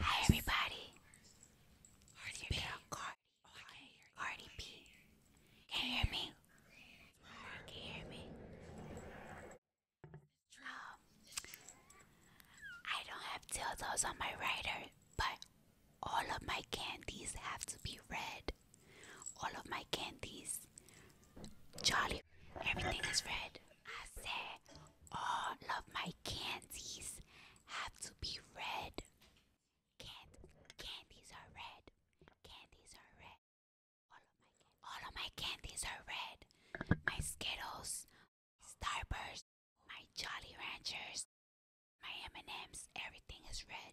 Hi everybody. Cardi B. Cardi B. Can you hear me? Can you hear me? Um, I don't have dildos on my writer, but all of my candies have to be red. All of my candies. Jolly. Everything is red. I said all of my candies have to be red. candies are red. Candies are red. All of my candies, are red. My Skittles, Starburst, my Jolly Ranchers, my M&Ms, everything is red.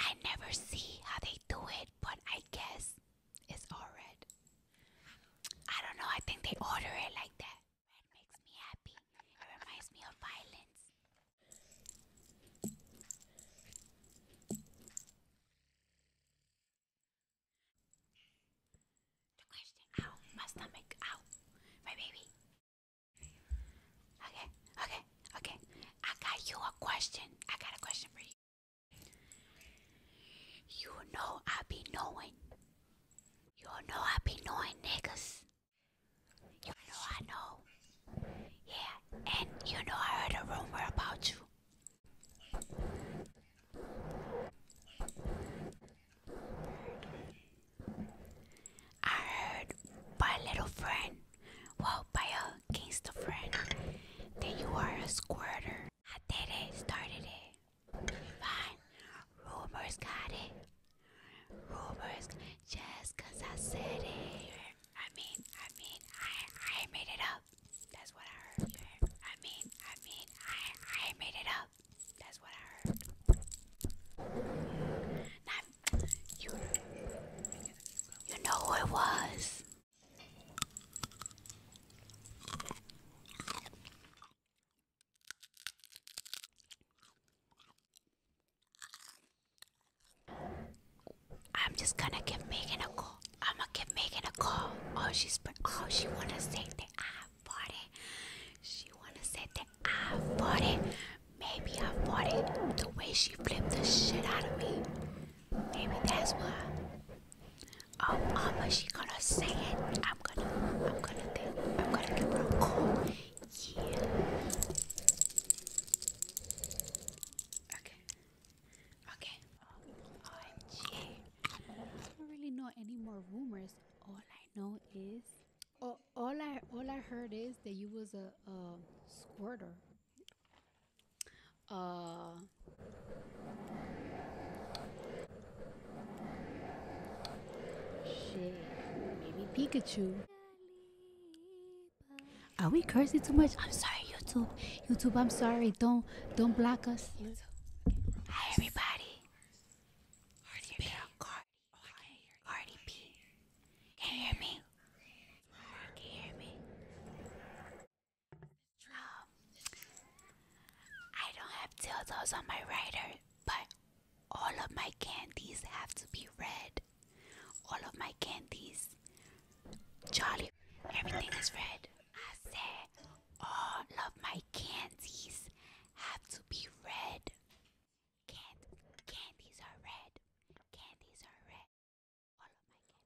I never see how they do it, but I guess it's all red. I don't know. I think they order it like that. Red makes me happy. It reminds me of violence. The question Ow, my stomach, ow, my baby. Okay, okay, okay. I got you a question. I got a question for you. You know I be knowing you all know I be knowing niggas. You know I know. Yeah, and you know I heard a rumor about you. I heard by a little friend, well, by a gangster friend, that you are a squirter. I did it, started it. Fine, rumors got it. Rumors, just I said it. I mean, I mean, I, I made it up. That's what I heard. I mean, I mean, I, I made it up. That's what I heard. you, you know who it was. I'm just gonna give Megan a call. I'm gonna give Megan a call. Oh, she's oh she wanna say that I bought it. She wanna say that I bought it. Maybe I bought it. The way she flipped the shit out of me. Maybe that's why. Um, Mama, um, she gonna say it. I'm gonna, I'm gonna, think, I'm gonna give her a call. Yeah. Okay. Okay. OMG. There's really not any more rumors. All I know is, all I, all I heard is that you was a, a squirter. Uh, Shit, maybe Pikachu. Are we cursing too much? I'm sorry, YouTube. YouTube, I'm sorry. Don't don't block us. Hi, everybody. Cardi B. Cardi B. Can you hear me? Can you hear me? I don't have dildos on my writer, but all of my candies have to be red. All of my candies, Charlie, everything is red. I said all of my candies have to be red. can candies are red. Candies are red.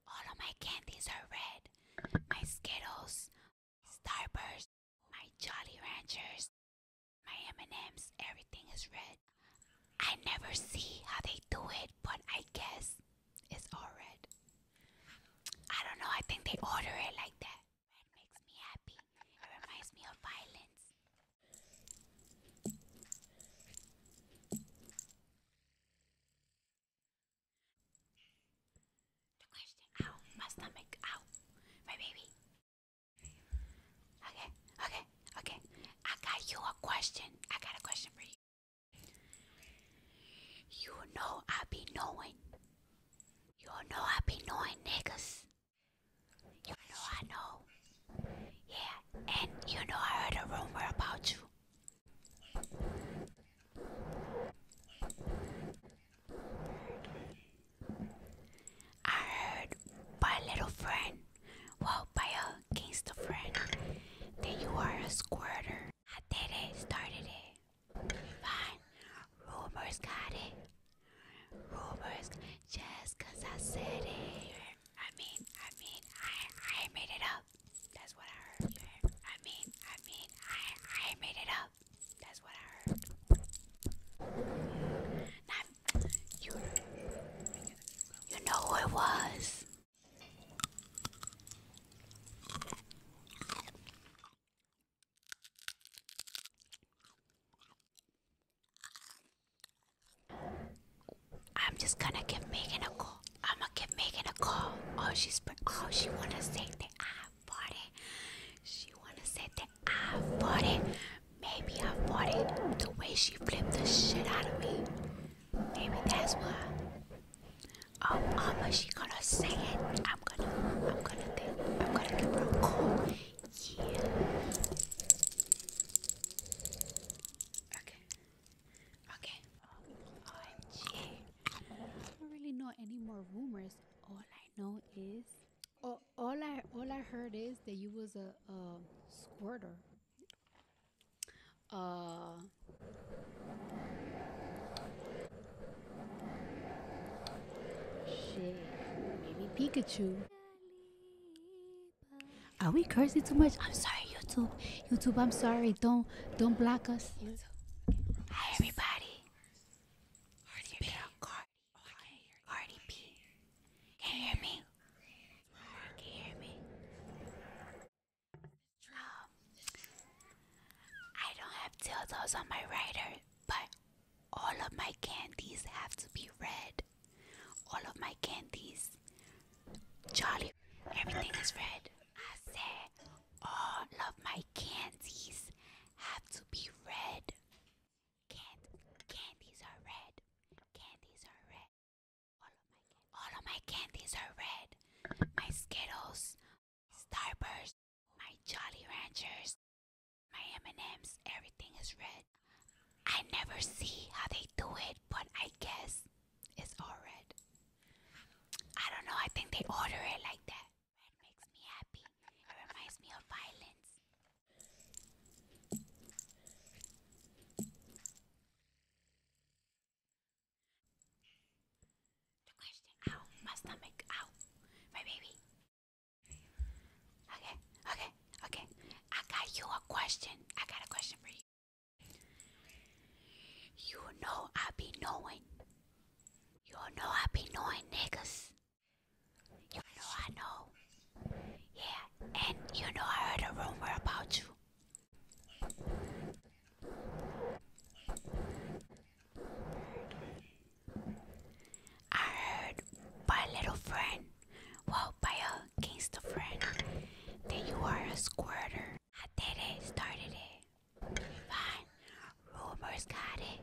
all of my candies are red. My Skittles, Starburst, my Jolly Ranchers, my M&Ms, everything is red. I never see how they do it, but I guess it's all red. I don't know, I think they order it like that. Red makes me happy. It reminds me of violence. The question, ow, my stomach, ow, my baby. Okay, okay, okay. I got you a question. I got a question for you. You know I be knowing. You know I be knowing niggas. You know I know. Yeah, and you know I heard a rumor about you. I heard by a little friend, well, by a gangster friend, that you are a squirter. I did it, started it. Fine, rumors got it. Rumors, just I said it. I mean, I mean, I, I made it up. That's what I heard. I mean, I mean, I, I made it up. That's what I heard. you, you know who it was. I'm just gonna give Megan a call. I'm gonna give Megan a call. Oh, she's oh she wanna say that I 40. She wanna say that I fought it. Maybe I fought it. The way she flipped the shit out of me. Maybe that's why. Oh mama, she gonna say it. I'm gonna I'm gonna I'm gonna give her a call. Yeah. Okay. Okay. OMG. don't really know any more rumors all I know is, all I all I heard is that you was a, squirter. Uh, shit, maybe Pikachu. Are we cursing too much? I'm sorry, YouTube. YouTube, I'm sorry. Don't don't block us. YouTube. Hi, everybody. Cardi B. Cardi Cardi B. Can you hear me? Can you hear me? Um, I don't have dildos on my rider, but all of my candies have to be red. All of my candies. Charlie, everything is red. I said all of my candies have to be red. Cand- candies are red. Candies are red. All of my, all of my candies are red. My Skittles, Starbursts, my Jolly Ranchers, my M&Ms, everything is red. I never see how they do it, but I guess it's all red. I don't know. I think they order it like that. Red makes me happy. It reminds me of violence. The question, ow, my stomach, ow, my baby. Okay, okay, okay. I got you a question. I got a question for you. You know I be knowing you know I be knowing niggas. You know I know. Yeah, and you know I heard a rumor about you. I heard by a little friend, well, by a gangster friend, that you are a squirter. I did it, started it. Fine. Rumors got it.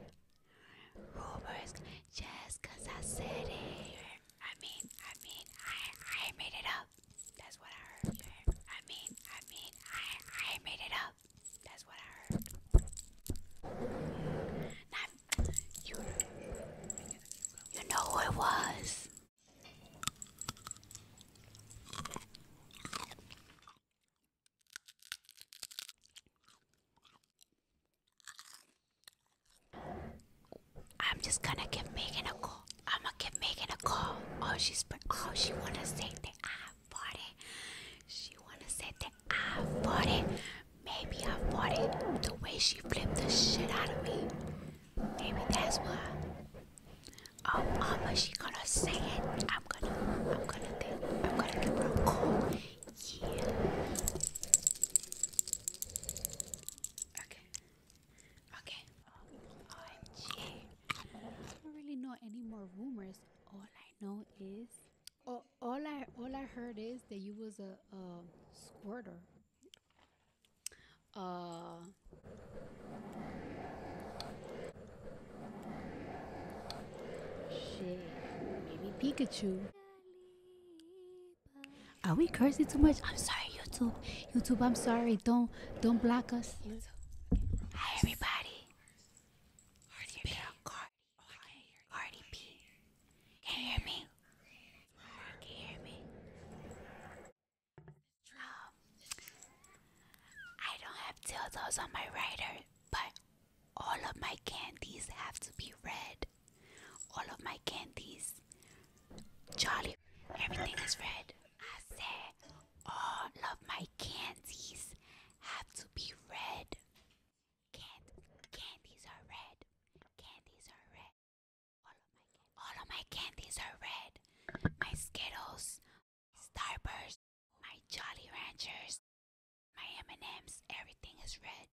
Rumors just I said it. I mean, I mean, I I made it up. That's what I heard. I mean, I mean, I I made it up. That's what I heard. you, you know who it was. I'm just gonna keep making a call. I'm gonna keep making a call. Oh, she's oh she wanna say the I bought it. She wanna say that I fought it. Maybe I fought it. The way she flipped the shit out of me. Maybe that's why. Um, I'm actually gonna say it. I'm gonna, I'm gonna, think, I'm gonna give her a call. Yeah. Okay. Okay. OMG. I don't really know any more rumors. All I know is, oh, all I, all I heard is that you was a, a squirter. Uh, Shit. Maybe Pikachu. Are we cursing too much? I'm sorry, YouTube. YouTube, I'm sorry. Don't don't block us. YouTube. Hi everybody. Cardi B. Cardi B. Can you hear me? Can you hear me? Oh, I don't have tildos on my rider, but all of my candies have to be red. All of my candies. Charlie, everything is red. I said all of my candies have to be red. candies are red. Candies are red. All of my all of my candies are red. My Skittles, Starburst, my Jolly Ranchers, my M&Ms, everything is red.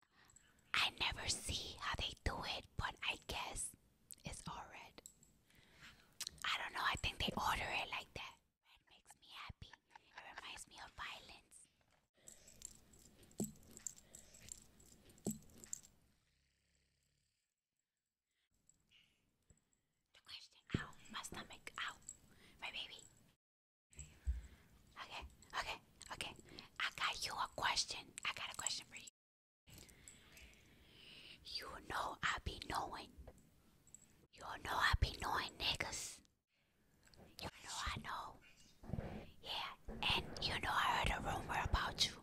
I never see how they do it, but I guess it's all red. I don't know, I think they order it like that. Red makes me happy. reminds me of violence. The question. Ow, my stomach. Ow, my baby. Okay, okay, okay. I got you a question. I got a question for you. You know I be knowing. You know I be knowing niggas. You know I know. Yeah, and you know I heard a rumor about you.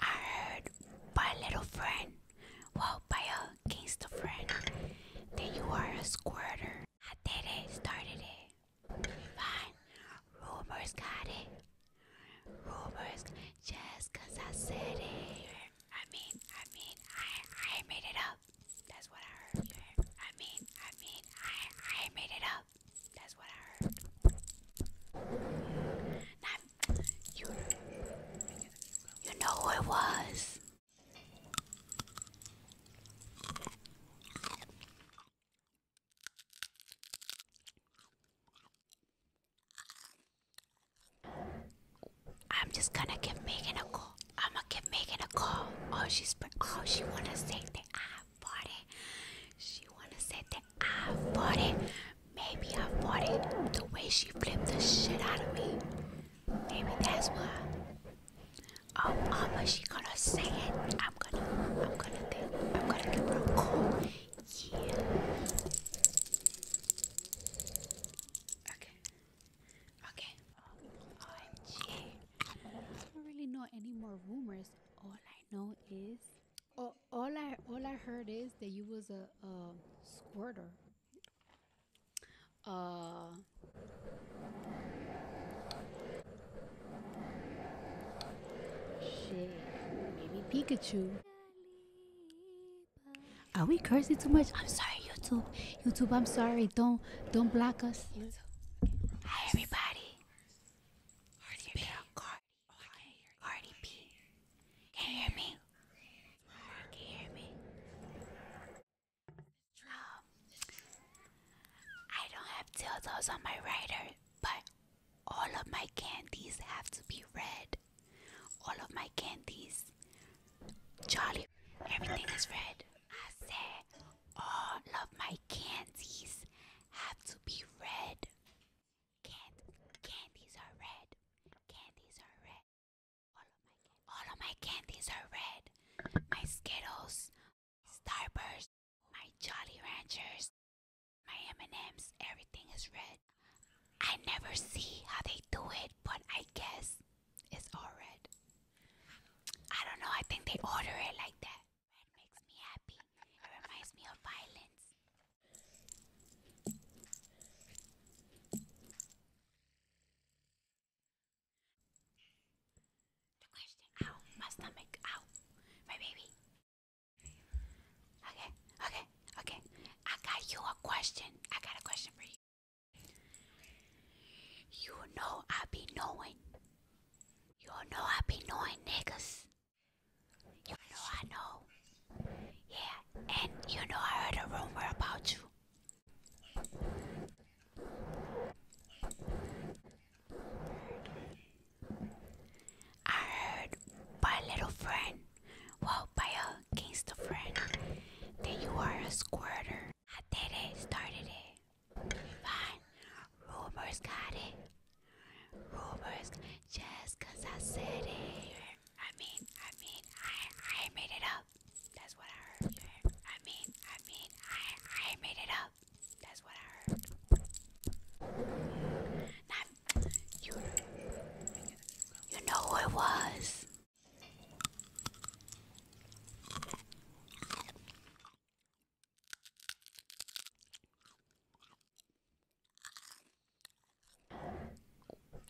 I heard by a little friend, well, by a gangster friend, that you are a squirter. I did it, started it. Fine, rumors got it. Rumors, just I said it. I mean, I mean, I I made it up. That's what I heard. I mean, I mean, I I made it up. That's what I heard. you, you know who it was. I'm just gonna give Megan a call. I'ma give Megan a call. Oh, she's oh she wanna say that I afford it. She wanna say that I fought it. Maybe I fought it. The way she flipped the shit out of me. Maybe that's why. Oh mama, she gonna say it. I'm gonna I'm gonna think I'm gonna give her a call. Yeah. Okay. Okay. OMG. Oh, I don't really know any more rumors all I know is, all, I all I heard is that you was a, squirter. Uh, shit, maybe Pikachu. Are we cursing too much? I'm sorry, YouTube. YouTube, I'm sorry. Don't don't block us. Hi, everybody. Cardi B. Oh, Cardi B. Can you hear me? Can you hear me? Um, I don't have dildos on my writer, but all of my candies have to be red. All of my candies. Charlie, everything is red. I said all of my candies have to be red. Candy, candies are red. Candies are red. All of my all of my candies are red. My Skittles, Starburst, my Jolly Ranchers, my M&Ms, everything is red. I never see how they do it, but I guess it's all red. I don't know. I think they order it like that. Red makes me happy. It reminds me of violence. The question Ow, my stomach, ow, my baby. Okay, okay, okay. I got you a question. I got a question for you. You know I be knowing you all know I be knowing niggas. You know I know. Yeah, and you know I heard a rumor about you. I heard by a little friend, well, by a gangster friend, that you are a squirter. I did it, started it. Fine. Rumors got it. Rumors. Just I said it. I mean, I mean, I I made it up. That's what I heard. I mean, I mean, I I made it up. That's what I heard. you. You know who it was.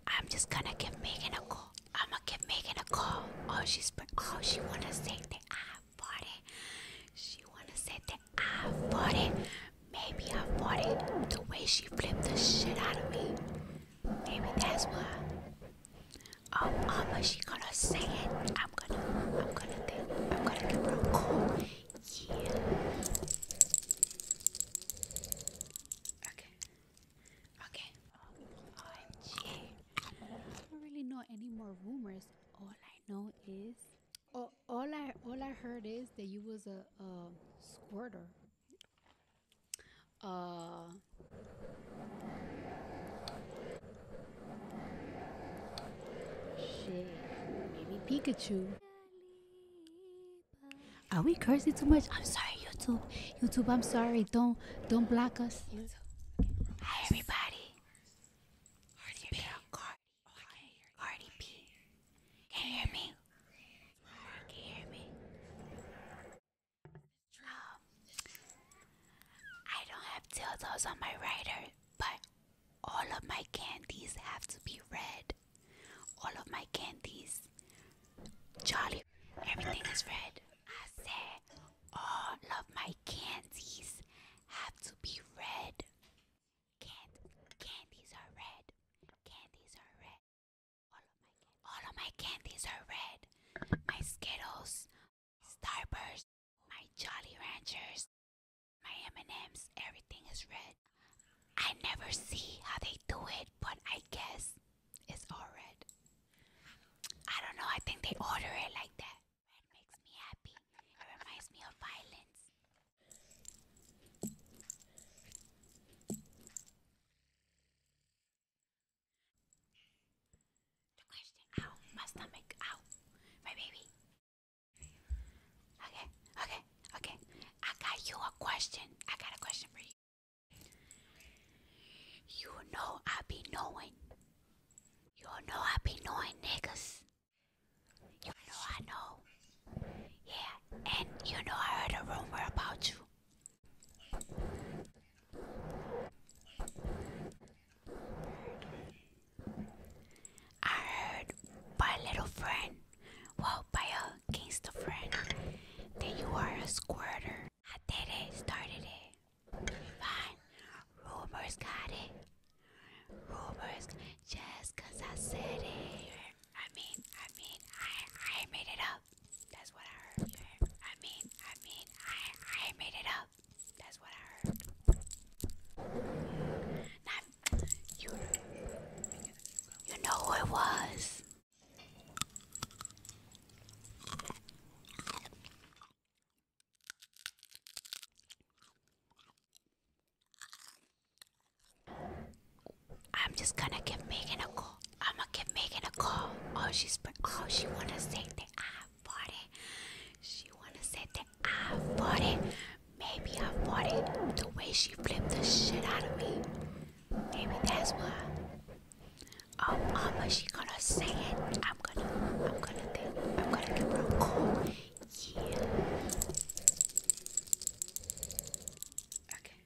I'm just gonna give Megan a call. I'm gonna give Megan a call. Oh, she's oh she wanna say the I bought it. She wanna say that I bought it. Maybe I fought it. The way she flipped the shit out of me. Maybe that's why. Um, am she gonna say it. I'm gonna, I'm gonna, think, I'm gonna give her a call. Yeah. Okay. Okay. OMG. I don't really know any more rumors. All I know is, oh, all I, all I heard is that you was a, a squirter. Uh, Shit, maybe Pikachu. Are we cursing too much? I'm sorry, YouTube. YouTube, I'm sorry. Don't don't block us. YouTube. Hi, everybody. Can you hear me? I don't have dildos on my writer, but all of my candies have to be red. All of my candies. Jolly, everything is red. I said all of my candies have to be red. candies are red. Candies are red. all of my candies are red. My Skittles, Starburst, my Jolly Ranchers, my M&Ms, everything is red. I never see how they do it, but I guess it's all red. I don't know, I think they order it like that. Red makes me happy. reminds me of violence. The question, ow, my stomach, ow, my baby. Okay, okay, okay. I got you a question. I got a question for you. You know I be knowing. You know I be knowing niggas. You know I know. Yeah, and you know I heard a rumor about you. I heard by little friend, well, by a gangster friend, that you are a squirter. I did it, started it. Fine, rumors got it. Rumors, just I said it. I mean, I mean, I I made it up. That's what I heard. I mean, I mean, I I made it up. That's what I heard. you, you know who it was. I'm just gonna give Megan a call. I'm gonna give Megan a call. Oh, she's. Oh, she wanna say that I 40. She wanna say that I it. Maybe I it The way she flipped the shit out of me. Maybe that's why. Oh mama, she gonna say it. I'm gonna I'm gonna think I'm gonna give her a call. Yeah. Okay.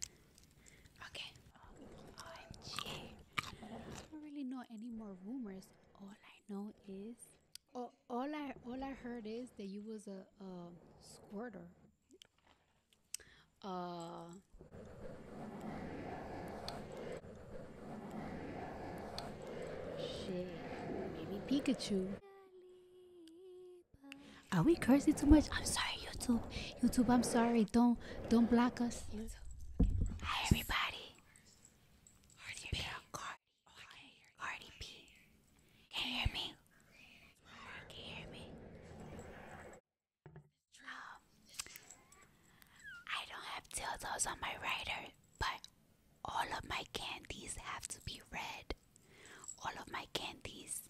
Okay. Oh, I don't really know any more rumors all I know is all, I all I heard is that you was a, squirter. Uh, shit. Maybe Pikachu. Are we cursing too much? I'm sorry, YouTube. YouTube, I'm sorry. Don't don't block us. YouTube. Hi everybody. Cardi B. Cardi B. Can you hear me? Can you hear me? Um, I don't have tildos on my rider, but all of my candies have to be red. All of my candies.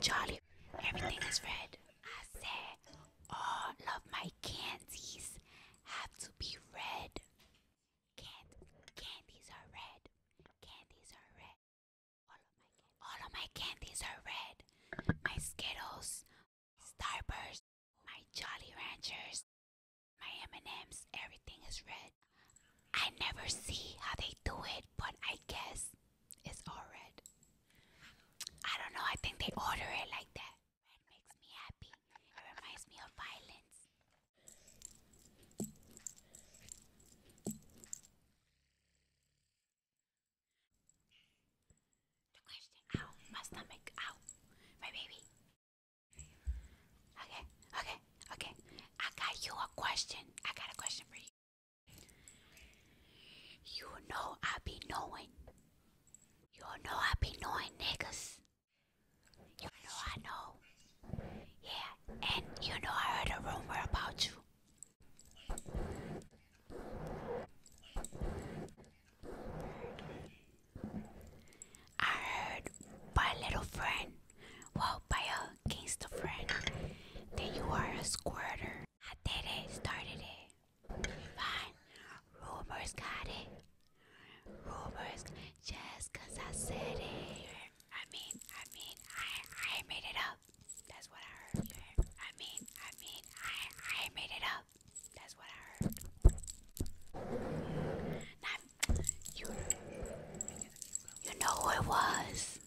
Jolly. Everything is red. I said all of my candies have to be red. Candy, candies are red. Candies are red. All of my candies, are red. My Skittles, Starburst, my Jolly Ranchers, my M&Ms, everything is red. I never see how they do it, but I guess it's all red. I don't know. I think they order it like that. Red makes me happy. It reminds me of violence. The question. Ow, my stomach. Ow, my baby. Okay, okay, okay. I got you a question. I got a question for you. You know I be knowing. You all know I be knowing niggas. You know I know. Yeah, and you know I heard a rumor about you. I heard by a little friend, well, by a gangster friend, that you are a squirter. I did it, started it. Divine. Rumors got it. Rumors just cause I said it. I mean, I mean, I I made it up. That's what I heard. I mean, I mean, I I made it up. That's what I heard. you, you know who it was.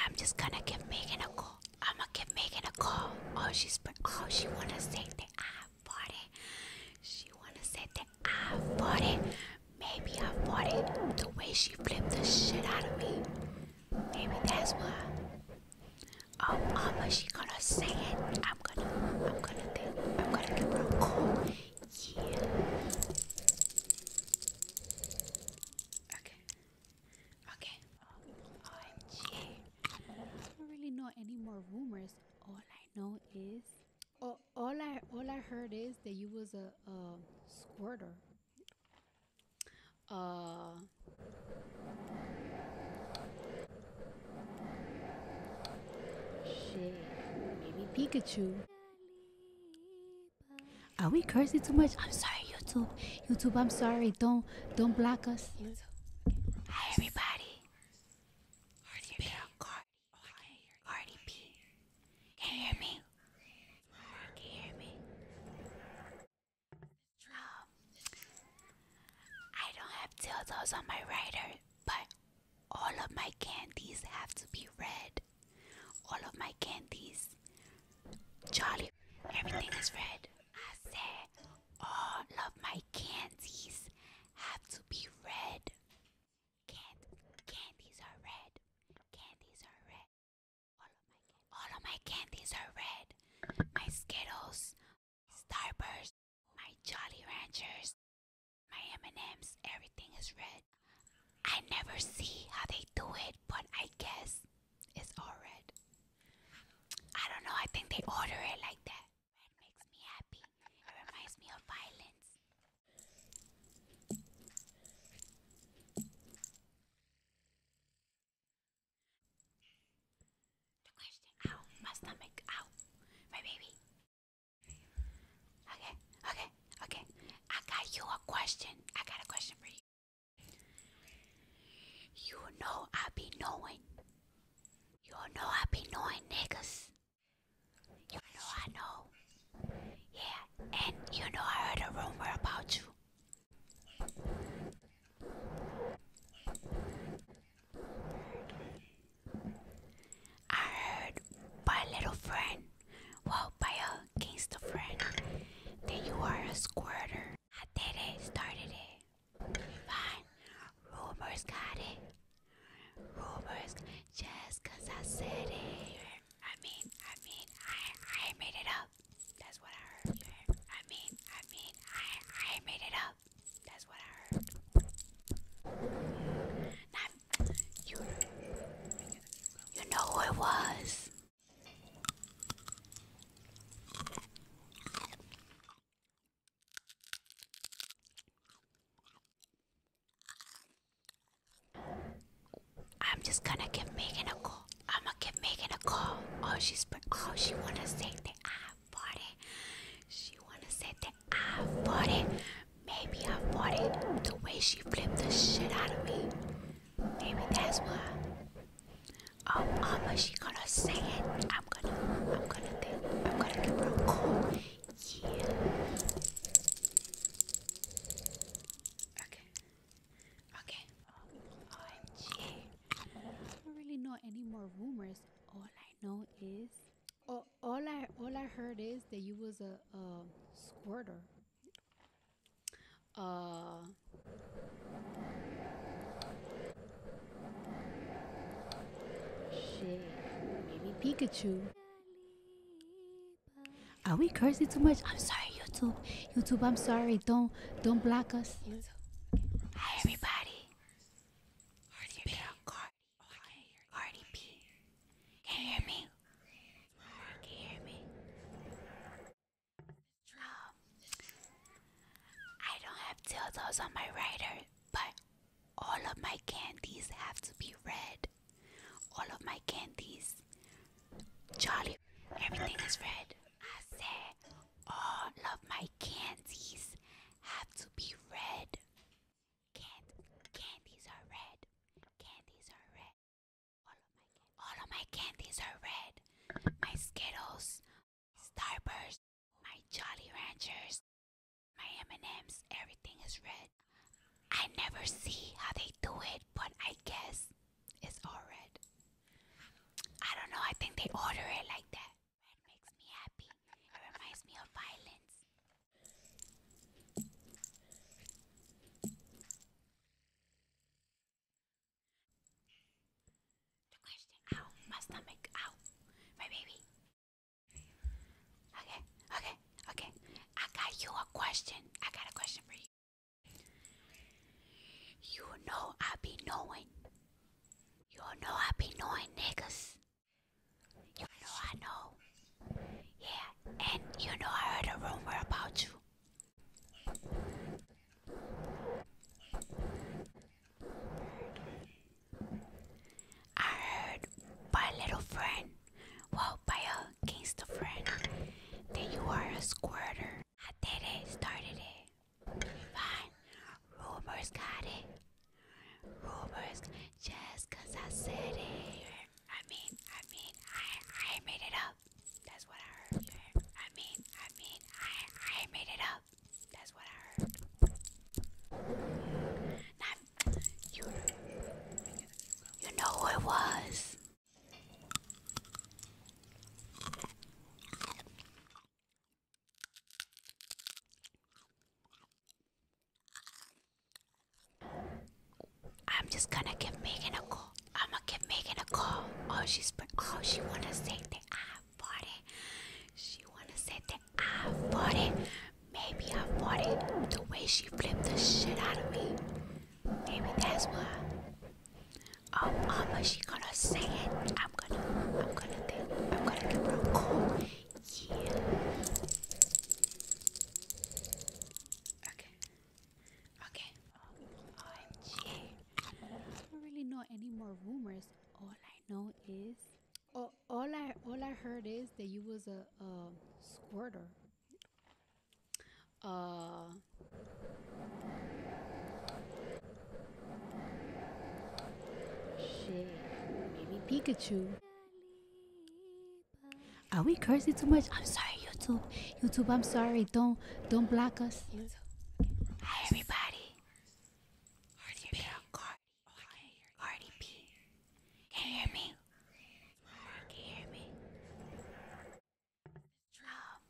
I'm just gonna give Megan a call. I'ma give Megan a call. Oh, she's oh she wanna say that I bought it. She wanna say that I bought it. Maybe I bought it. The way she flipped the shit out of me. Maybe that's why. Oh, am um, um, she gonna say it. I'm gonna, I'm gonna, think, I'm gonna give her a call. Yeah. Okay. Okay. OMG. I don't really know any more rumors. All I know is, all I, all I heard is that you was a, a squirter. Uh, Shit, maybe Pikachu. Are we cursing too much? I'm sorry, YouTube. YouTube, I'm sorry. Don't don't block us. Hi, everybody. Cardi B. Cardi B. Can you hear me? Can you hear me? No. I don't have dildos on my rider, but all of my candies have to be red. All of my candies, Charlie, everything is red. I said all of my candies have to be red. Candy, candies are red. Candies are red. All of my all of my candies are red. My Skittles, Starburst, my Jolly Ranchers, my M&Ms, everything is red. I never see how they do it, but I guess it's all red. I don't know, I think they order it like that. Red makes me happy. It reminds me of violence. The question. Ow, my stomach. Ow, my baby. Okay, okay, okay. I got you a question. I got a question for you. You know I be knowing. You know I be knowing niggas. You know I know. Yeah, and you know I heard a rumor about you. I heard by a little friend, well, by a gangster friend, that you are a squirter. I did it, started it. Fine, rumors got it. Rumors, just I said it. I mean, I mean, I I made it up. That's what I heard. I mean, I mean, I I made it up. That's what I heard. you, you know who it was. I'm just gonna give Megan a call. I'm gonna give Megan a call. Oh, she's oh she wanna say that I 40. She wanna say that I fought it. Maybe I fought it The way she flipped the shit out of me. Maybe that's why. Oh mama, she gonna say it. I'm gonna I'm gonna think I'm gonna give her a call. Yeah. Okay. Okay. OMG. Oh, don't really know any more rumors or like I know is all I all I heard is that you was a, squirter. Uh, shit, maybe Pikachu. Are we cursing too much? I'm sorry, YouTube. YouTube, I'm sorry. Don't don't block us. Hi, everybody. Cardi B. Cardi Cardi B. Can you hear me? Can you hear me? Um, I don't have dildos on my rider, but all of my candies have to be red. All of my candies. Charlie, everything is red. I said all of my candies have to be red. Candy, candies are red. Candies are red. All of my candies, are red. My Skittles, Starburst, my Jolly Ranchers, my M&Ms, everything is red. I never see how they do it, but I guess it's all red. I don't know. I think they order it like that. Red makes me happy. It reminds me of violence. The question Ow, my stomach, ow, my baby. Okay, okay, okay. I got you a question. I got a question for you. You know I be knowing you all know I be knowing niggas. You know I know. Yeah, and you know I heard a rumor about you. I heard by a little friend, well, by a gangster friend, that you are a squirter. I did it, started it. Fine. Rumors got it. Rumors just I said it. I mean, I mean, I I made it up. That's what I heard. I mean, I mean, I I made it up. That's what I heard. you, you know who it was. I'm just gonna keep making a call. I'm gonna give Megan a call. Oh, she's oh she wanna say that I bought it. She wanna say that I bought it. Maybe I bought it. The way she flipped the shit out of me. Maybe that's why. Oh, mama, she gonna say it. I'm gonna, I'm gonna think, I'm gonna give her a call. Yeah. Okay. Okay. OMG. I don't really know any more rumors. All I know is, oh, all I, all I heard is that you was a, a squirter. Uh, Shit. Maybe Pikachu. Are we cursing too much? I'm sorry, YouTube. YouTube, I'm sorry. Don't don't block us. Hi everybody. Cardi B. Cardi B. Can you hear me? Can you hear me? Um,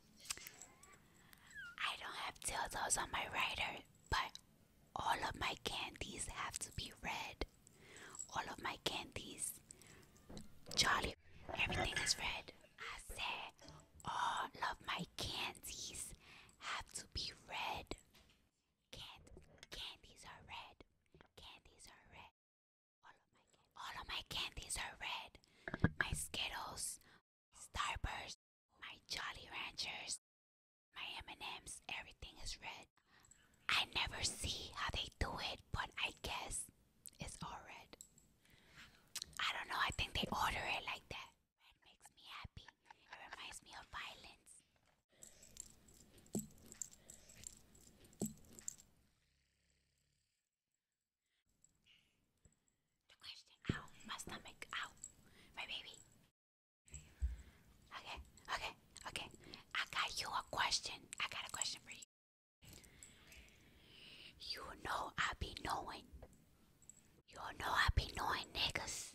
I don't have tiltos on my rider. But all of my candies have to be red. All of my candies. Charlie, everything is red. I said all of my candies have to be red. Can candies are red. Candies are red. All of my all of my candies are red. My Skittles, Starburst, my Jolly Ranchers, my M&Ms, everything is red. I never see how they do it, but I guess it's all red. I don't know, I think they order it like that. Red makes me happy. reminds me of violence. The question. Ow, my stomach. Ow, my baby. Okay, okay, okay. I got you a question. I got a question for you. You know I be knowing. You know I be knowing niggas.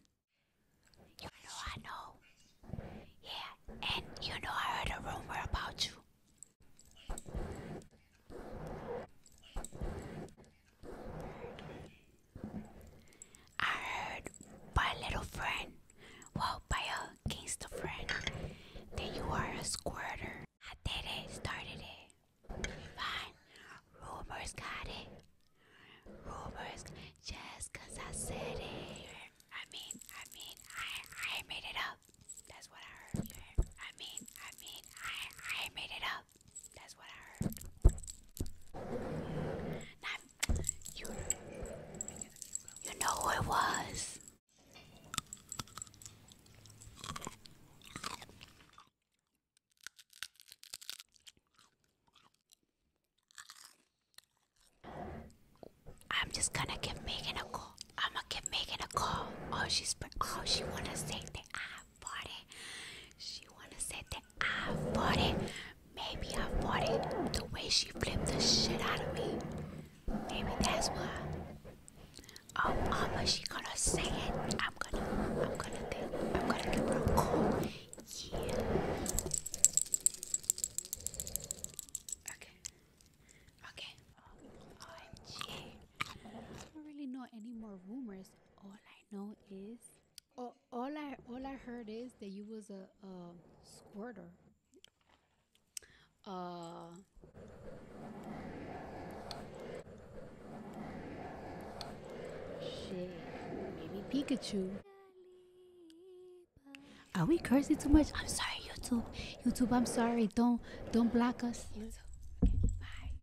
You know I know. Yeah, and you know I heard a rumor about you. I heard by a little friend, well, by a gangster friend, that you are a squirter. I did it, started it. Fine, rumors got it. Rumors, just I said it. I mean, I mean, I I made it up. That's what I heard. I mean, I mean, I I made it up. That's what I heard. you, you know who it was. I'm just gonna give Megan a call. I'ma give Megan a call. Oh, she's oh she wanna say that I afford it. She wanna say that I afford it. Maybe I afford it. The way she flipped the shit out of me. Maybe that's why. Oh mama, she gonna say it. I'm gonna I'm gonna think I'm gonna give her a call. Yeah. Okay. Okay. OMG. Oh, I don't really know any more rumors. All no, know is all, I all I heard is that you was a, squirter. Uh, shit, maybe Pikachu. Are we cursing too much? I'm sorry, YouTube. YouTube, I'm sorry. Don't don't block us.